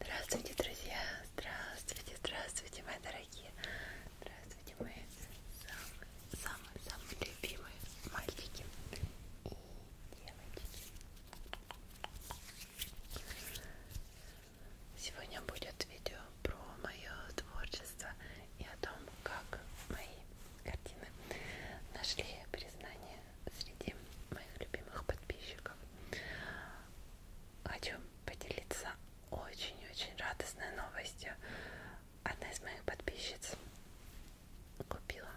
Здравствуйте, друзья! Здравствуйте, здравствуйте, мои дорогие! Здравствуйте, мои самые-самые-самые любимые мальчики и девочки! Сегодня будет видео про мое творчество и о том, как мои картины нашли признание среди моих любимых подписчиков. Хочу поделиться очень-очень радостной новостью. Одна из моих подписчиц купила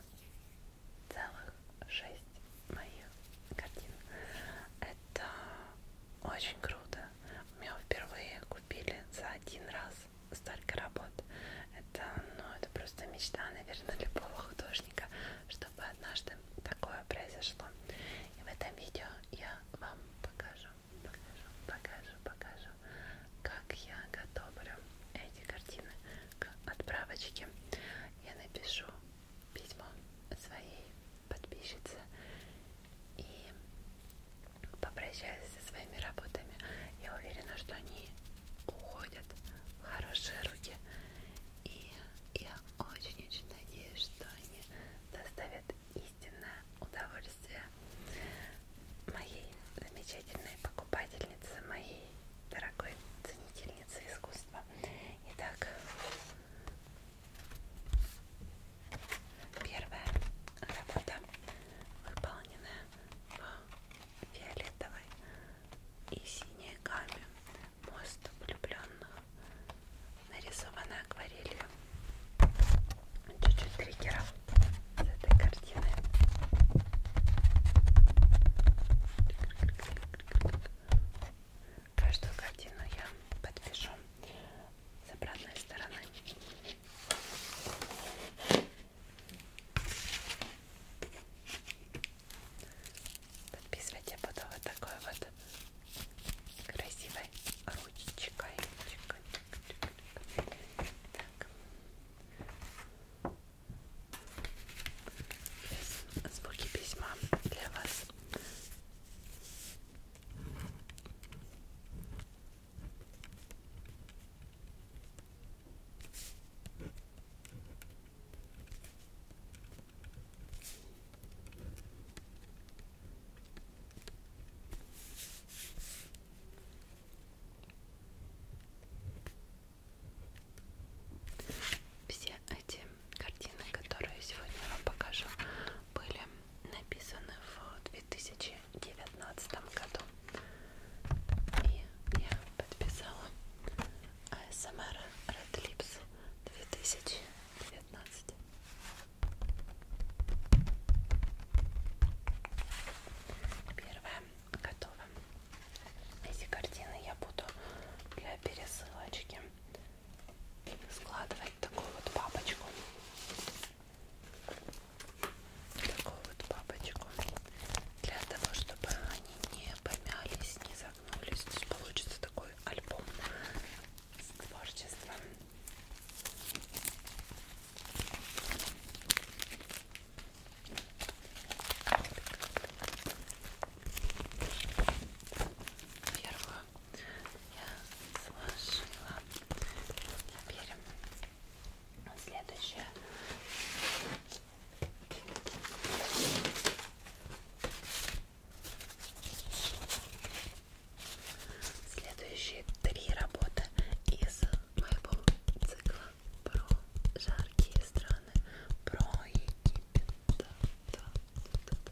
целых шесть моих картин. Это очень круто. У меня впервые купили за один раз столько работ. Это, ну, это просто мечта, наверное, любого художника, чтобы однажды такое произошло. И в этом видео я вам покажу, покажу, покажу, покажу, как я готовлю эти картины к отправочке. Я напишу письмо своей подписчице и попрощаюсь со своими работами. Я уверена, что они уходят в хорошие руки и я очень-очень надеюсь, что они доставят истинное удовольствие моей замечательной покупательнице, моей дорогой ценительнице искусства. Итак, первая работа выполненная в фиолетовой и синей гамме мост влюбленных нарисована акварелью чуть-чуть триггеров с этой картины каждую картину я подпишу с обратной стороны Подписывать я буду вот такой вот красивой ручечкой. Так. Звуки письма для вас. Все эти картины, которые сегодня вам покажу, были написаны в 2019 году. И я подписала АСМР Red Lips 2019 Первое готово. Эти картины я буду для пересылочки складывать такую вот папочку. Такую вот папочку. Для того, чтобы они не помялись, не загнулись. То есть получится такой альбом с творчеством. Первую я сложила. Теперь следующее. Следующие три работы из моего цикла про жаркие страны, про Египет. Да, да, да, да.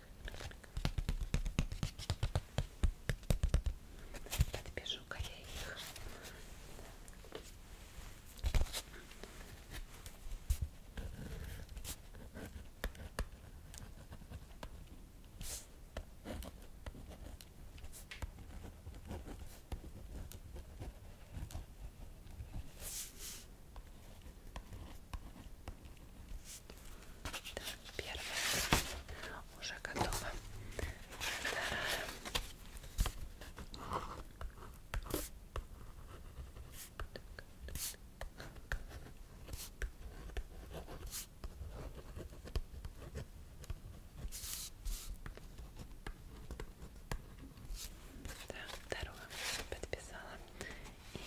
Подбежу-ка я их. Так, первая уже готова. Вторая. Так, вторую подписала. И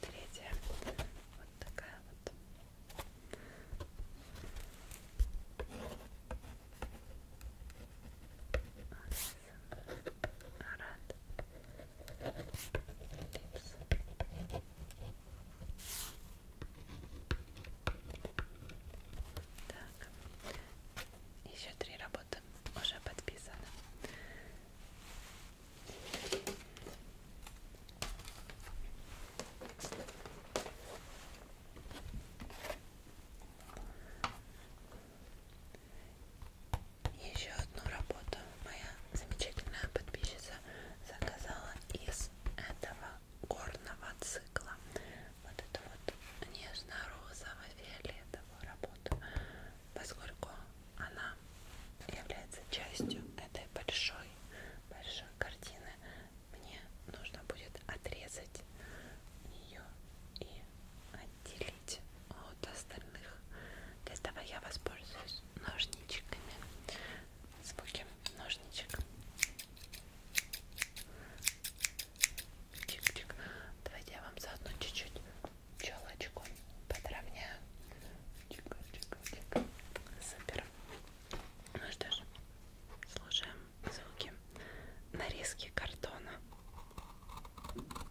третья вот такая вот. Арат. Липс. Так. Еще три работы уже подписаны. Еще одну работу моя замечательная подписчица заказала из этого горного цикла. Вот эту вот нежно-розово-фиолетовую работу поскольку она является частью этой большой большой картины мне нужно будет отрезать ее и отделить от остальных для этого я воспользуюсь ножничками звуки ножничек Чик -чик. давайте я вам заодно чуть-чуть челочку подровняю. Чика, чика, чика. Супер. Ну что ж, слушаем звуки нарезки картона. Ой,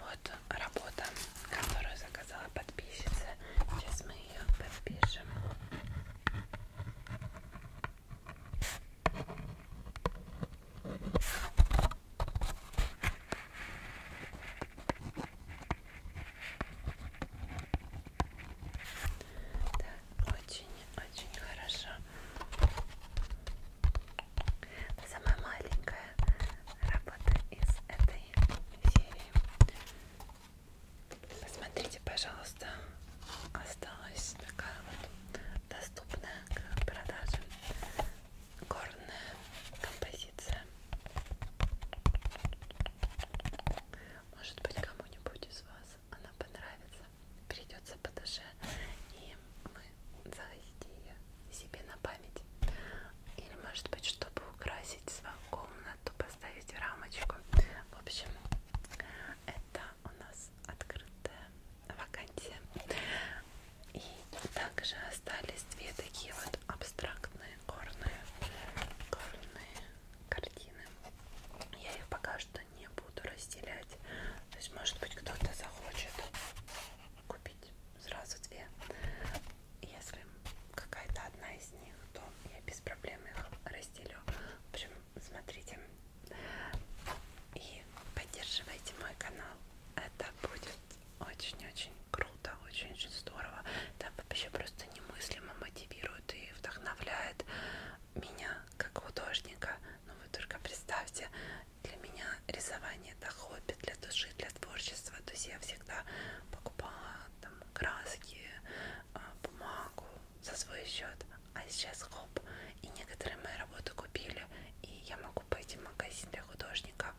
Вот работа, которую заказала подписчица. Сейчас мы ее подпишем. Да, очень-очень хорошо. Самая маленькая работа из этой серии. Посмотрите, пожалуйста, осталась такая вот доступна к продаже горная композиция может быть кому-нибудь из вас она понравится перейдется по душе и мы захотите ее себе на память или может быть чтобы украсить свою комнату поставить рамочку в общем это у нас открытая вакансия. И также остались две такие вот абстрактные горные, горные картины. Я их пока что не буду разделять. То есть, может быть, кто-то захочет купить сразу две. Если какая-то одна из них, то я без проблем их разделю. В общем, смотрите, и поддерживайте мой канал. Это будет очень-очень круто, очень-очень здорово. Это вообще просто немыслимо мотивирует и вдохновляет меня как художника. Ну вы только представьте, для меня рисование это хобби, для души, для творчества. То есть я всегда покупала там краски, а, бумагу за свой счет. А сейчас хоп, и некоторые мои работы купили, и я могу купите магазин для художников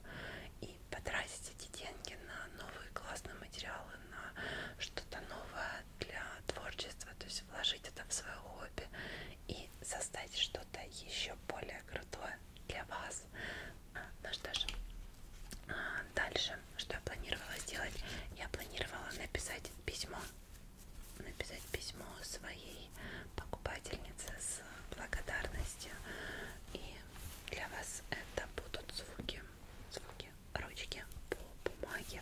и потратить эти деньги на новые классные материалы, на что-то новое для творчества, то есть вложить это в свое хобби и создать что-то еще более крутое для вас. Ну что ж, а, дальше, что я планировала сделать? Я планировала написать письмо написать письмо своей покупательнице с благодарностью. И для вас это будут звуки, звуки ручки по бумаге.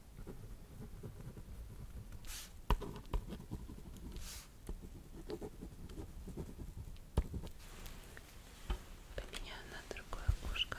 Поменяю на другое ушко.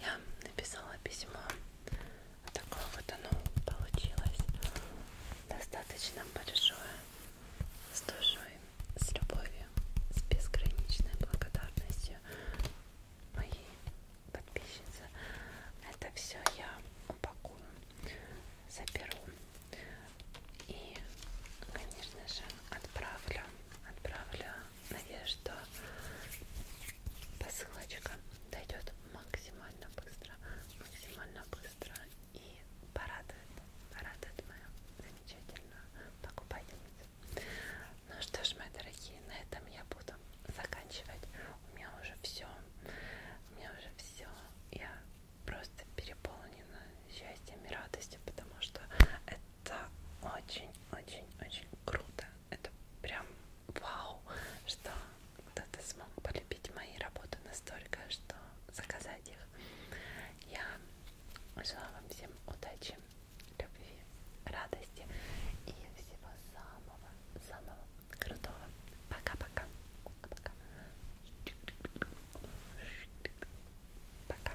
Я написала письмо. Вот такое вот оно получилось. Достаточно большое. С душой, с любовью, с безграничной благодарностью моей подписчицы. Это все я упакую, заберу и, конечно же, отправлю, отправлю надеюсь, что посылочка дойдет максимально быстро, максимально быстро и порадует, порадует мою замечательную покупательницу. Ну что ж, мои дорогие, на этом я буду заканчивать. У меня уже все, у меня уже все. Я просто переполнена счастьем и радостью, потому что это это очень-очень-очень круто. Это прям вау, что кто-то смог полюбить мои работы настолько, что заказать их. Я желаю вам всем удачи, любви, радости и всего самого-самого крутого. Пока-пока. Пока. Пока. Пока.